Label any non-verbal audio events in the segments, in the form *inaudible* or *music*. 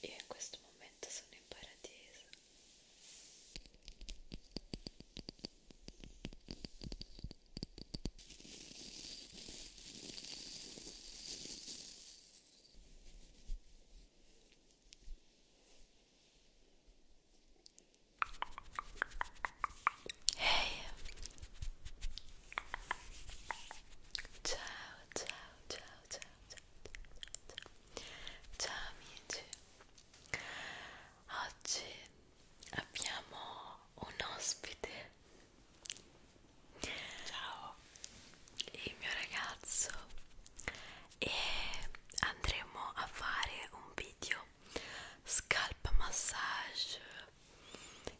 Io in questo momento sono in paradiso. Hey. Ciao, ciao, ciao, ciao, ciao, ciao, ciao amici. Oggi abbiamo un ospite. Ciao. Il mio ragazzo e andremo a fare un video esempio scalp massage,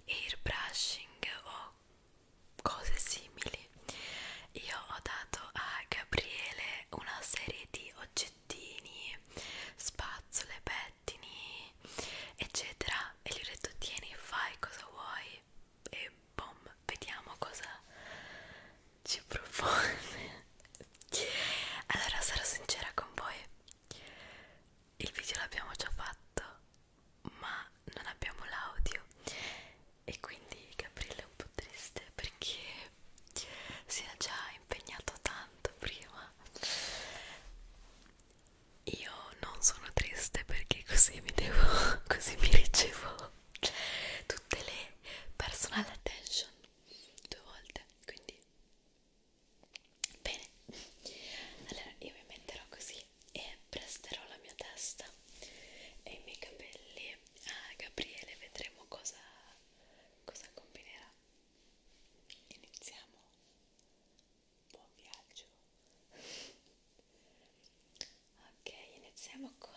airbrushing o cose simili. Io ho dato a Gabriele una serie di oggettini, spazzole, pettini, eccetera, e gli ho detto tieni, fai cosa vuoi e boom, vediamo cosa ci propone allora sarò sincera con voi il video l'abbiamo già fatto ma non abbiamo l'audio e quindi Gabriele è un po' triste perché si è già impegnato tanto prima io non sono triste perché così mi devo *laughs* così mi ricevo tutte le personal attention due volte quindi Bene, allora io mi metterò così e presterò la mia testa e i miei capelli a Gabriele, vedremo cosa, cosa combinerà. Iniziamo. Buon viaggio. Ok, iniziamo con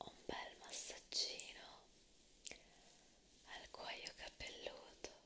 un bel massaggino al cuoio capelluto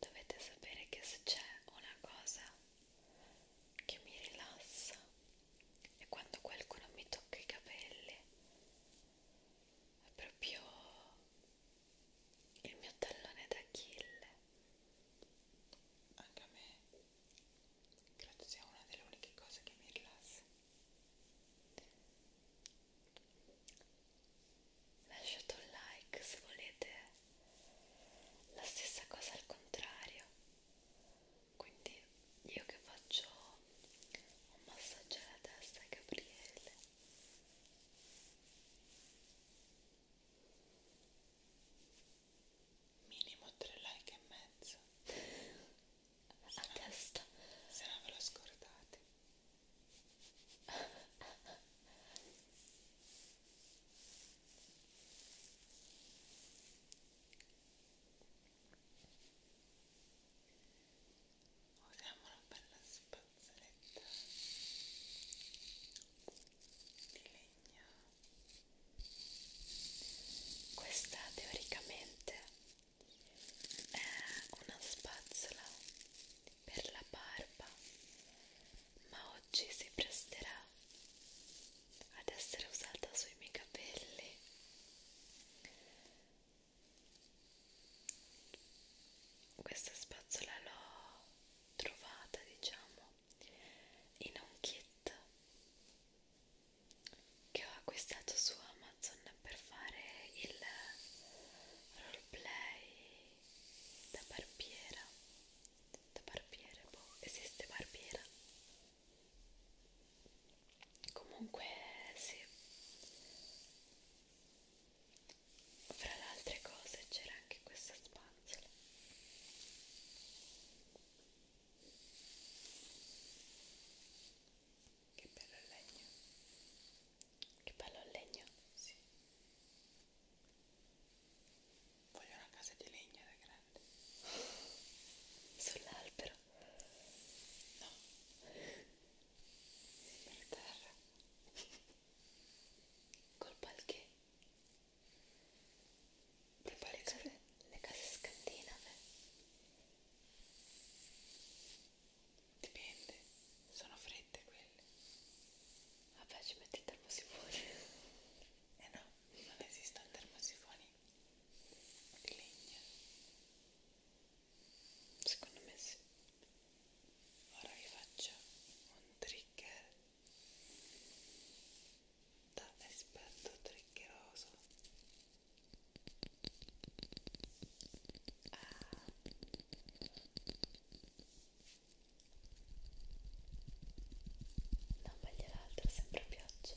Dovete sapere che se c'è una cosa che mi rilassa è quando qualcuno mi tocca i capelli, è proprio il mio tallone d'Achille anche a me credo sia una delle uniche cose che mi rilassa lasciate un like se volete la stessa cosa al contrario quindi io che faccio un massaggio alla testa a Gabriele minimo 3 like e mezzo a se testa non, se non ve lo scordate *laughs* usiamo una bella spazzoletta di legno questa teoricamente è una spazzola per la barba ma oggi si presterà ad essere usata sui miei capelli questa spazzola l'ho trovata, diciamo, in un kit che ho acquistato su Amazon per fare il roleplay da barbiera. Da barbiere, boh, esiste barbiera? Comunque sì fra le altre cose c'era anche questa spazzola che bello il legno che bello il legno sì voglio una casa di legno da grande sull'albero no per terra *laughs* col palchè tipo le case, le case scandinave dipende sono fredde quelle vabbè ci metti il termosifone *laughs* eh no non esistono termosifoni di legna secondo me sì ora vi faccio un trigger da esperto triggeroso ah. No, ma l'altra sembra pioggia.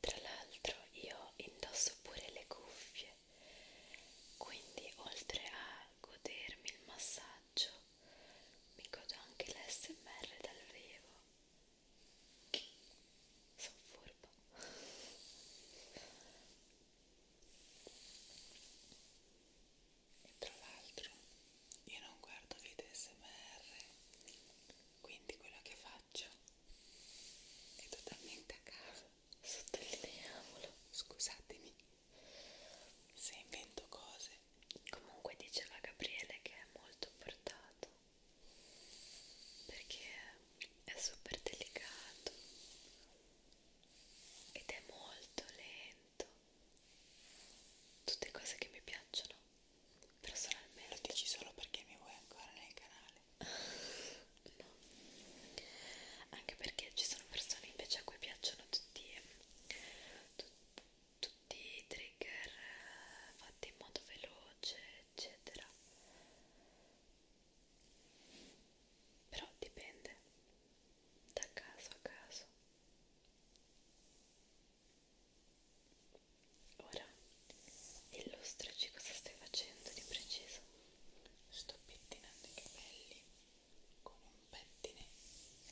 Tra l'altro io indosso pure le cuffie, quindi oltre a godermi il massaggio, mi godo anche l'SMR dal vivo. Sono furbo. E tra l'altro io non guardo video SMR quindi quello che faccio è totalmente a caso sottolineiamolo scusatemi se invento cose comunque diceva Gabriele che è molto portato perché è super delicato ed è molto lento tutte cose che mi piacciono Personalmente lo dici solo perché mi vuoi ancora nel canale no anche perché ci sono persone invece a cui piacciono tutti, tut, tutti i trigger eh, fatti in modo veloce eccetera però dipende da caso a caso Ora illustraci cosa stai facendo di preciso. Sto pettinando i capelli con un pettine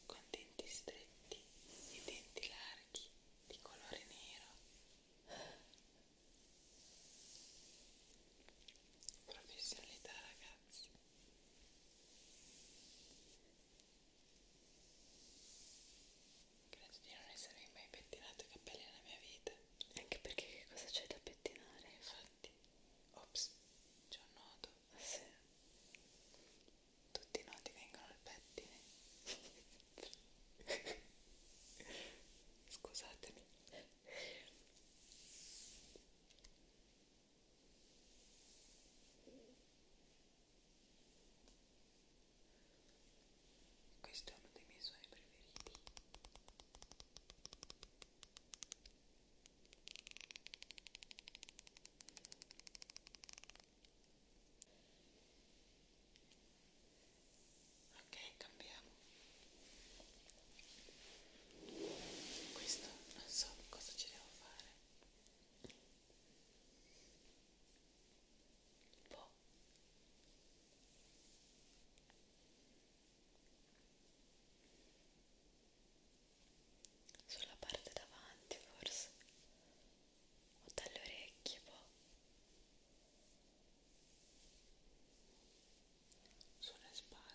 con denti stretti e denti larghi di colore nero. Professionalità ragazzi. Credo di non essermi mai pettinato i capelli nella mia vita. Anche perché che cosa c'è da pettinare? Infatti, ops, c'è un nodo. Sì. Tutti i nodi vengono al pettine. *laughs* Scusatemi questo è uno dei miei suoni preferiti ok cambiamo questo non so cosa ci devo fare un boh. po' po'. Sulla parte davanti forse o dalle orecchie poi boh. sulle spalle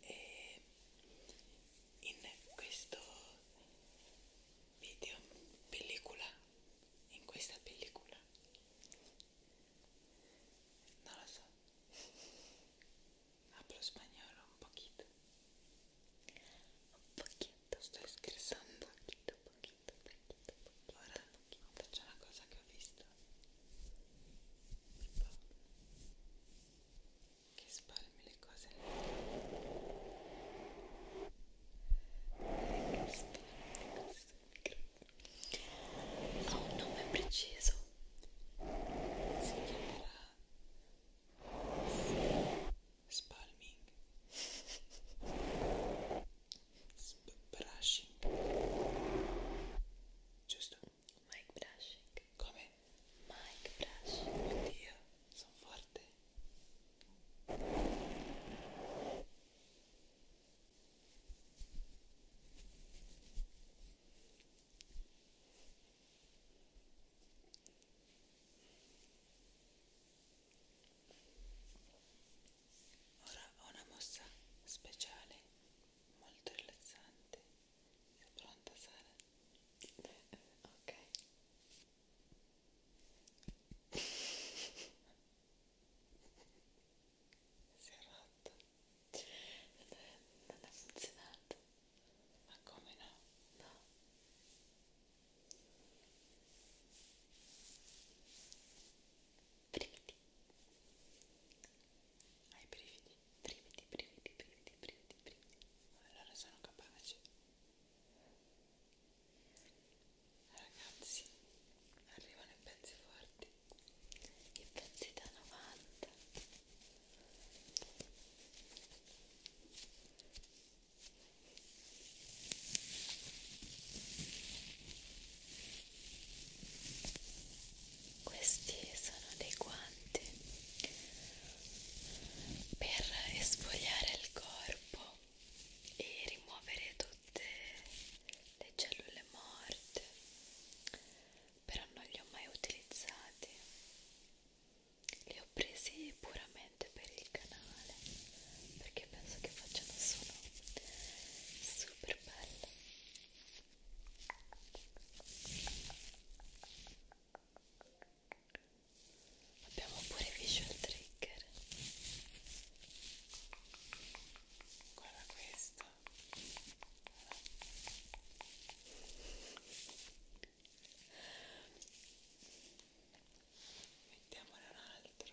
e in questo video pellicola in questa pellicola non lo so hablo spagnolo un pochito un pochito sto scherzando un pochito pochito pochito pochito ora faccio una cosa che ho visto che spalmi le cose nel che spalmi le cose sul microfono ha un nome preciso si chiamerà spalming Sp brushing giusto? mic brushing come? mic brush oddio sono forte Ora ho una mossa speciale molto rilassante. Sei pronta Sara? ok si è rotto non ha funzionato ma come no? no brividi hai brividi? brividi, brividi, brividi, brividi, brividi. Allora sono capace. Ragazzi, arrivano i pezzi forti. I pezzi da 90. Questi sono dei guanti per esfogliare il corpo e rimuovere tutte le cellule morte però non li ho mai utilizzati li ho presi puramente per il canale perché penso che facciano sono super bello abbiamo pure visual trigger guarda questo mettiamone un altro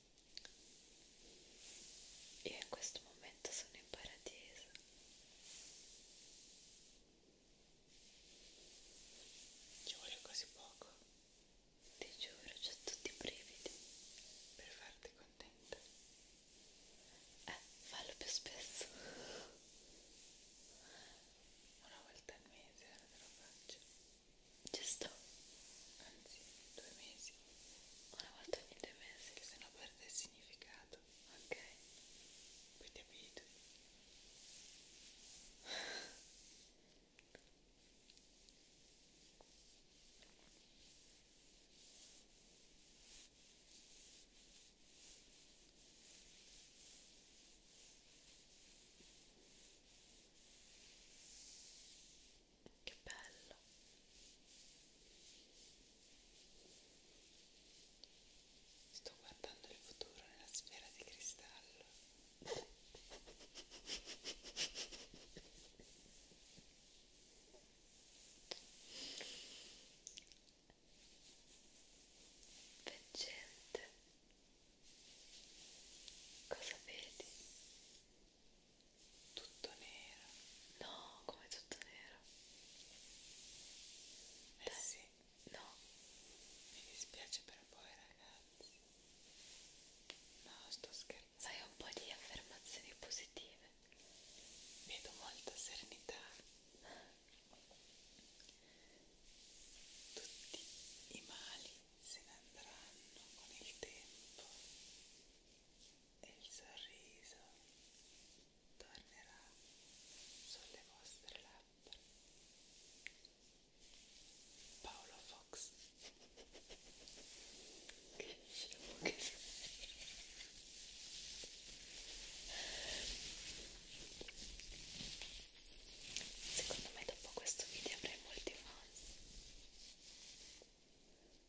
Io in questo momento sono in paradiso. Ci vuole così poco. Ti giuro, c'ho tutti i brividi. Per farti contenta. Eh, fallo più spesso. Una volta al mese ora eh, te lo faccio giusto? Anzi, due mesi, una volta ogni due mesi, che se no perde il significato, ok? Poi ti abitui che bello sto guardando il futuro nella sfera di cristallo Veggente, cosa vedi? tutto nero no come tutto nero eh Dai. sì no mi dispiace per voi ragazzi no sto scherzando sai un po' di affermazioni positive vedo molta serenità tutti i mali se ne andranno con il tempo e il sorriso tornerà sulle vostre labbra. Paolo Fox. che scemo che Secondo me dopo questo video avrei molti fan.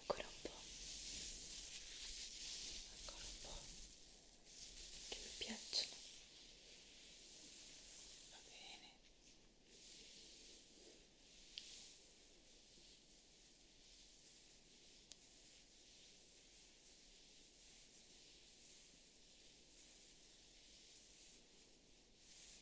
ancora un po', ancora un po', che mi piacciono, va bene. Adesso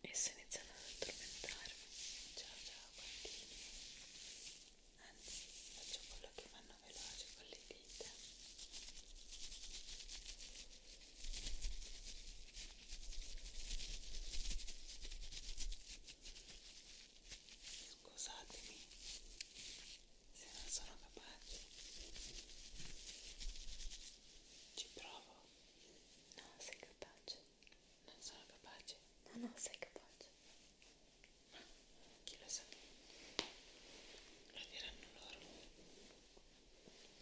e sto iniziando ad addormentarmi ciao ciao bambini anzi faccio quello che vanno veloce con le dita scusatemi se non sono capace ci provo no sei capace non sono capace no no sei capace ma chi lo sa lo diranno loro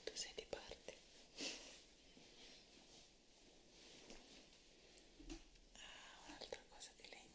tu sei di parte ah un'altra cosa di legno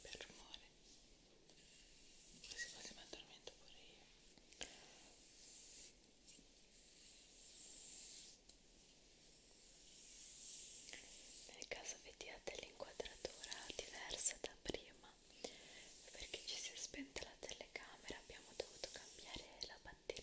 per rumore quasi quasi mi addormento pure io nel caso vediate l'inquadratura diversa da prima perché ci si è spenta la telecamera mentre abbiamo dovuto cambiare la batteria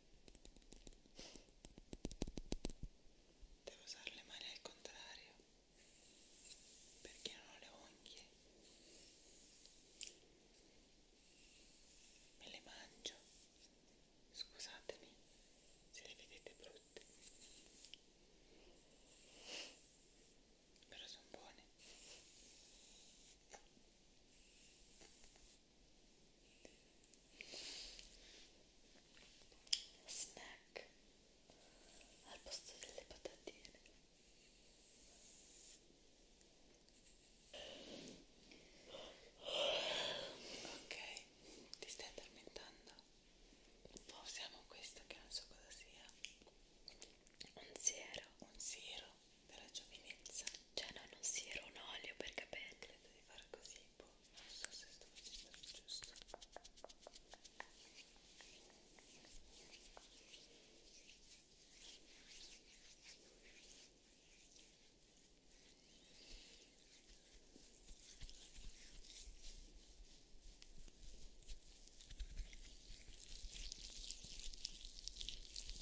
Devo usare le mani al contrario perché non ho le unghie. Me le mangio. Scusatemi se le vedete brutte. Però sono buone snack al posto delle patatine ok ti stai addormentando usiamo questo che non so cosa sia un siero un siero della giovinezza cioè non un siero un olio per capelli di fare così, boh, non so se sto facendo il giusto.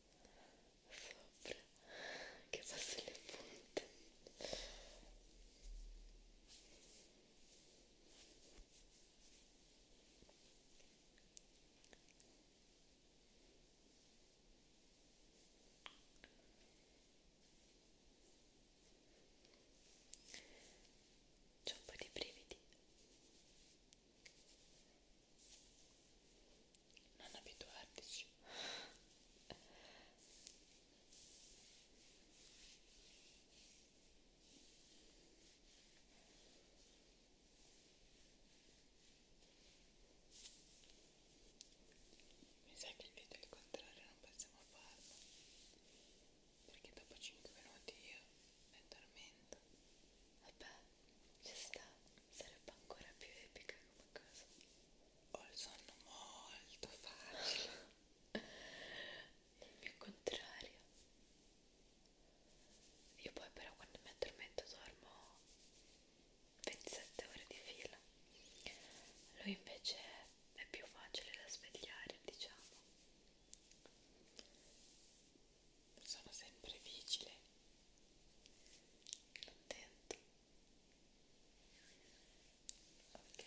sopra che passo le punte c'è un po' di brividi non abituartici mi sa che il video al contrario non possiamo farlo perché dopo 5 minuti io mi addormento vabbè ci sta, sarebbe ancora più epica come cosa. Ho oh, il sonno molto facile, il *laughs* mio contrario. Io poi però quando mi addormento dormo 27 ore di fila. Lui invece è più facile da svegliare, diciamo. Sono sempre vigile contento ok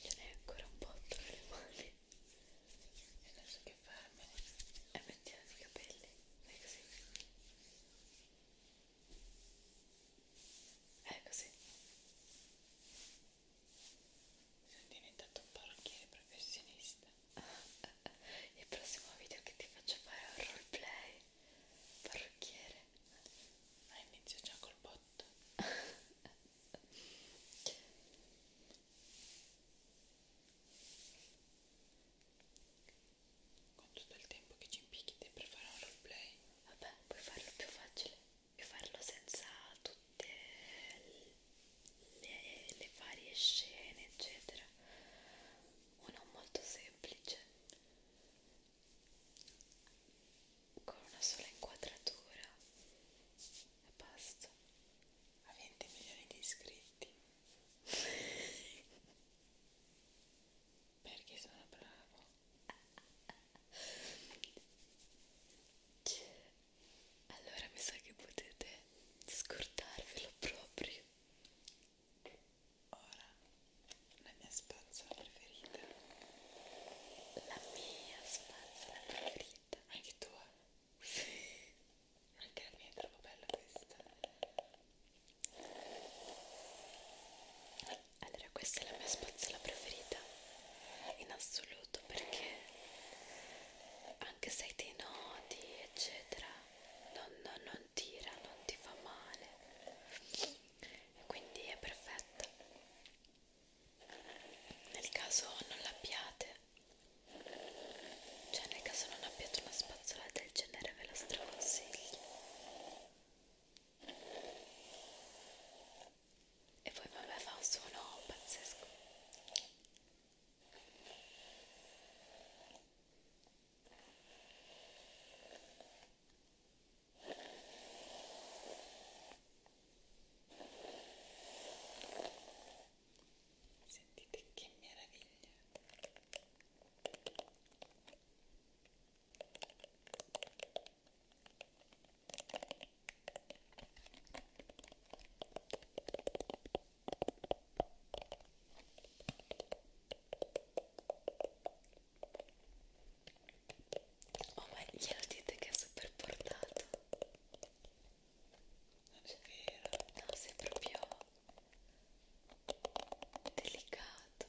ce n'è ancora un botto per le mani e adesso che farmi è eh, mettere i capelli è così è così sono diventato un parrucchiere professionista *laughs* il prossimo video che ti faccio fare è un roleplay parrucchiere ma inizio già col botto *laughs* con tutto il tempo che ci impicchiti per fare un roleplay vabbè puoi farlo più facile e farlo senza tutte le, le varie scene eccetera uno molto semplice con una sola inquadratura e basta a 20 milioni di iscritti perché sono bravo *laughs* allora mi sa che potete scordarvelo proprio ora la mia spazzola preferita la mia spazzola preferita anche tua? sì anche la mia è troppo bella questa allora questa è la mia spazzola preferita in assoluto perché anche se hai dei nodi eccetera non, non, non tira, non ti fa male quindi è perfetta nel caso non l'abbiate cioè nel caso non abbiate una spazzola del genere ve la straconsiglio e poi vabbè fa un suono pazzesco Sentite che meraviglia! Oh ma glielo dite che è super portato Non è vero No, sei proprio delicato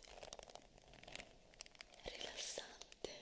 rilassante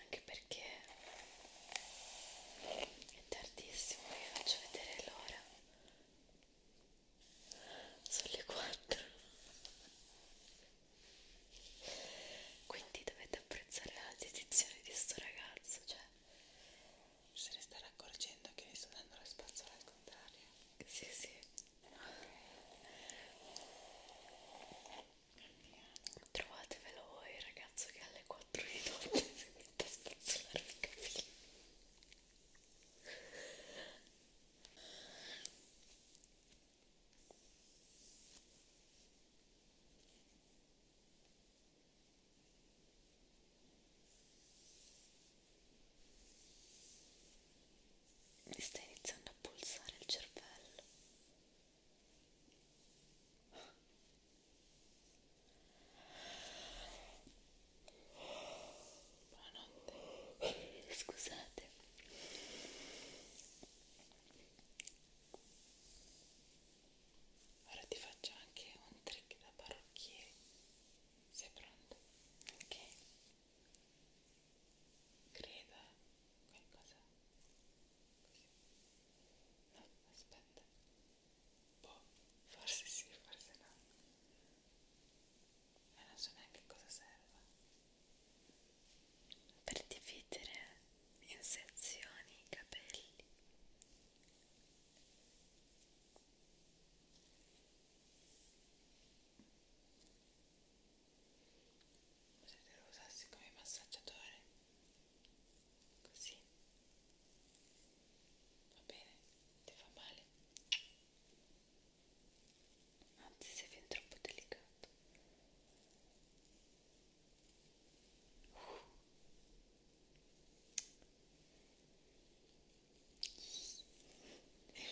anche perché è tardissimo vi faccio vedere l'ora sono le 4 quindi dovete apprezzare la dedizione di sto ragazzo cioè se ne stanno accorgendo che mi sto dando la spazzola al contrario sì sì Trovatevelo voi ragazzo che alle 4 di notte *laughs* si mette a spazzolare i capelli mi sta iniziando a pulsare il cervello buonanotte scusate ora ti faccio anche un trick da parrucchiere sei pronto? ok creda qualcosa così no aspetta boh forse sì forse no ma eh, non so neanche cosa serva per dividere in sezioni i capelli potete lo usarsi come massaggiatore così va bene ti fa male anzi sei fin troppo delicato uh. *laughs*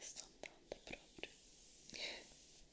Sto andando proprio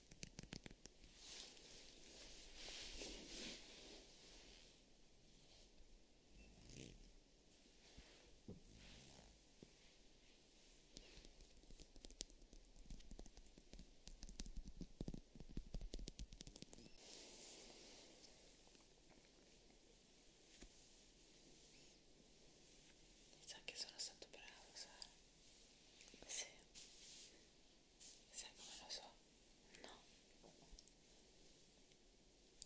Mi sa che sono stato bravo, Sara. Sì. Sai come lo so? No.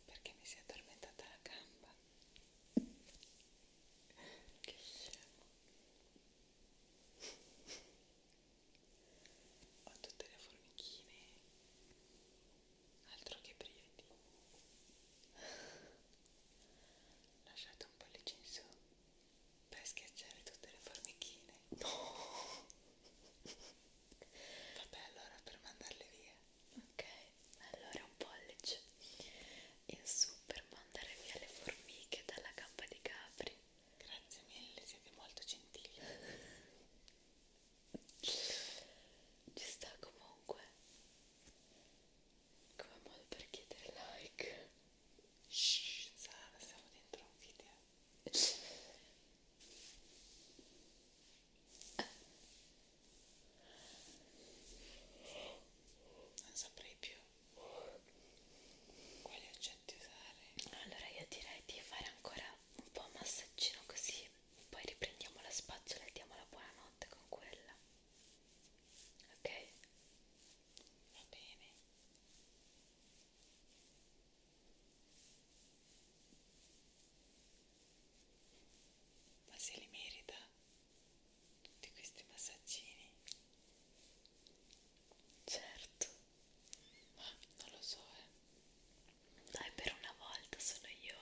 Perché mi si è addormentata la gamba. Che scemo. Ho tutte le formichine. Altro che brividi. Lasciate un pollice in su per schiacciare tutte le formichine no vabbè allora per mandarle via ok allora un pollice in su per mandare via le formiche dalla gamba di capri grazie mille siete molto gentili ci sta comunque come modo per chiedere like Shhh, Sara, siamo dentro un video. Non saprei più quali oggetti usare. Allora io direi di fare ancora un po' massaggino così, poi riprendiamo la spazzola e diamo la buonanotte con quella. Ok? Va bene ma se li merita tutti questi massaggini certo ma non lo so eh dai per una volta sono io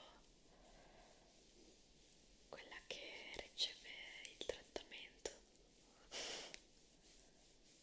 quella che riceve il trattamento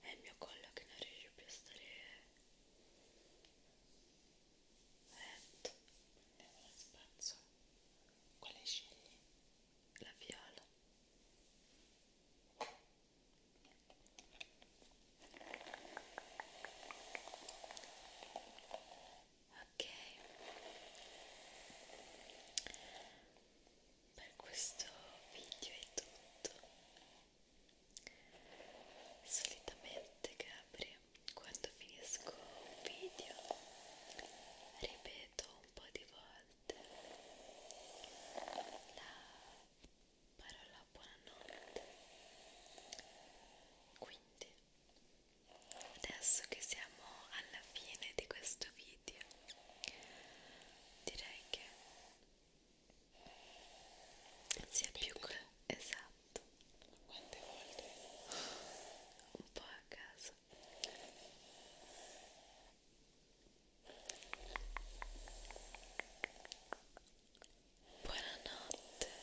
È il mio collo che non riesce più a stare retto. Andiamo allo spazio. Quale scegli? La viola. Ok, per questo video è tutto solitamente Gabri quando finisco un video ripeto un po' di volte la parola buonanotte quindi adesso che siamo alla fine di questo video invidia direi che sia quante più che esatto quante volte un po' a caso buonanotte buonanotte